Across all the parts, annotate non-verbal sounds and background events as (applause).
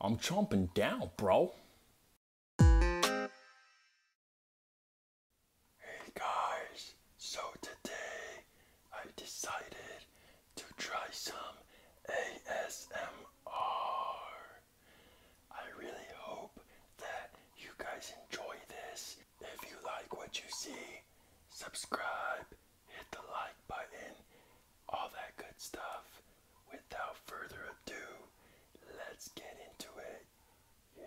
I'm chomping down, bro. Hey guys, so today I decided to try some ASMR. I really hope that you guys enjoy this. If you like what you see, subscribe, hit the like button, all that good stuff without further ado, let's get into it. Yeah.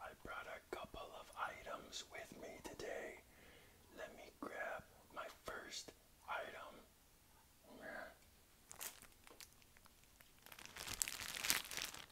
I brought a couple of items with me today. Let me grab my first item.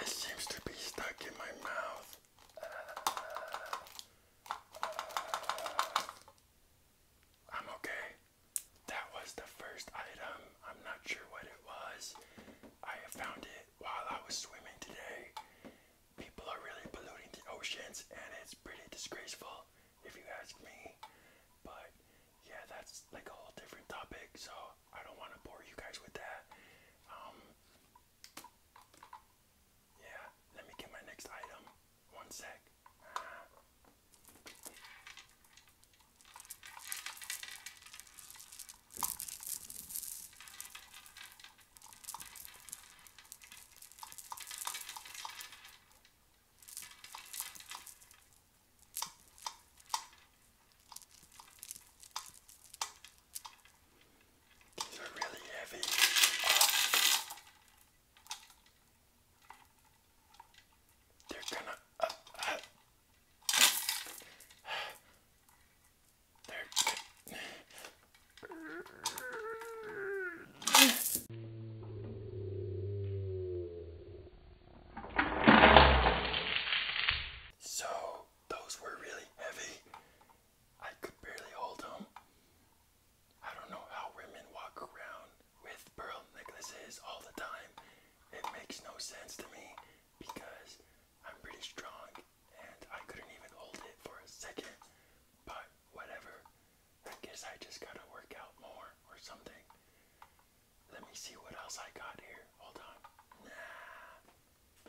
This seems to be stuck in my mouth. I'm okay that was the first item. I'm not sure what it was. I found it while I was swimming today. People are really polluting the oceans, and it's pretty disgraceful, if you ask me. But yeah, that's like a whole different topic, so I don't want to bore you guys with that. Um, yeah, let me get my next item. One sec. These are really heavy. Oh. They're gonna. Uh, uh, they're. So those were really heavy. I could barely hold them. I don't know how women walk around with pearl necklaces all the time. It makes no sense to me because I'm pretty strong and I couldn't even hold it for a second. But whatever. I guess I just gotta work out more or something. Let me see what else I got here. Hold on. Nah.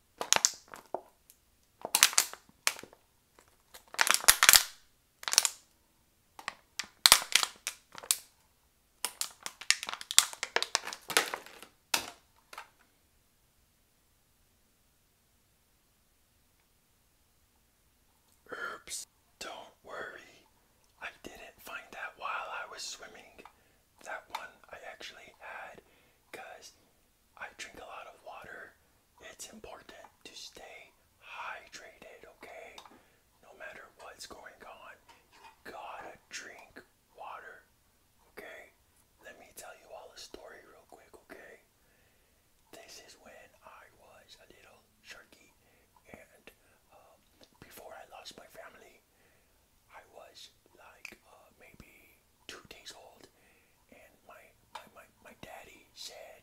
Oops, don't worry. I didn't find that while I was swimming. That one I actually had because I drink a lot of water. It's important to stay hydrated, okay? No matter what's going on, you gotta drink water, okay? Let me tell you all a story real quick, okay? This is when I was a little sharky, and um, before I lost my family, I was like uh, maybe two days old, and my my my, my daddy said,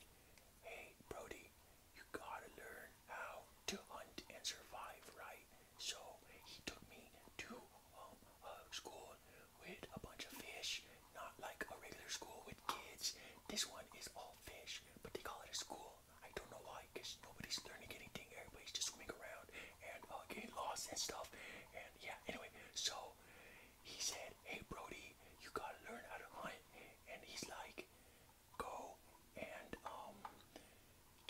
"Hey, Brody, you gotta learn how to hunt and survive, right?" So he took me to home um, school with a bunch of fish, not like a regular school with kids. This one is all fish, but they call it a school. I don't know why, because nobody's learning anything. Everybody's just swimming around and uh, getting lost and stuff. Yeah, anyway, so he said, Hey Brody, you gotta learn how to hunt. And he's like, Go and um,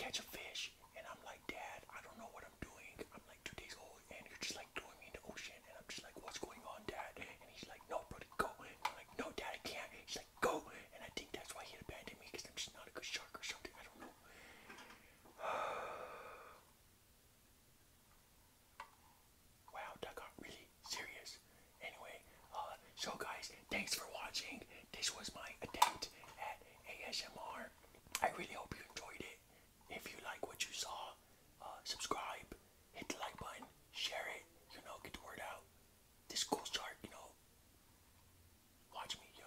catch a fish. And I'm like, Dad, I don't know what I'm doing. I'm like two days old and you're just like throwing me in the ocean and I'm just like, What's going on, Dad? And he's like, No, Brody, go. And I'm like, No, Dad, I can't. He's like, Go. And I think that's why he abandoned me because I'm just not a good shark or something. I don't know. (sighs) wow, that got really serious. Anyway, uh, so guys, thanks for watching. This was my attempt at ASMR. I really hope you enjoyed it. If you like what you saw, uh, subscribe, hit the like button, share it, you know, get the word out. This cool shark, you know, watch me, yo.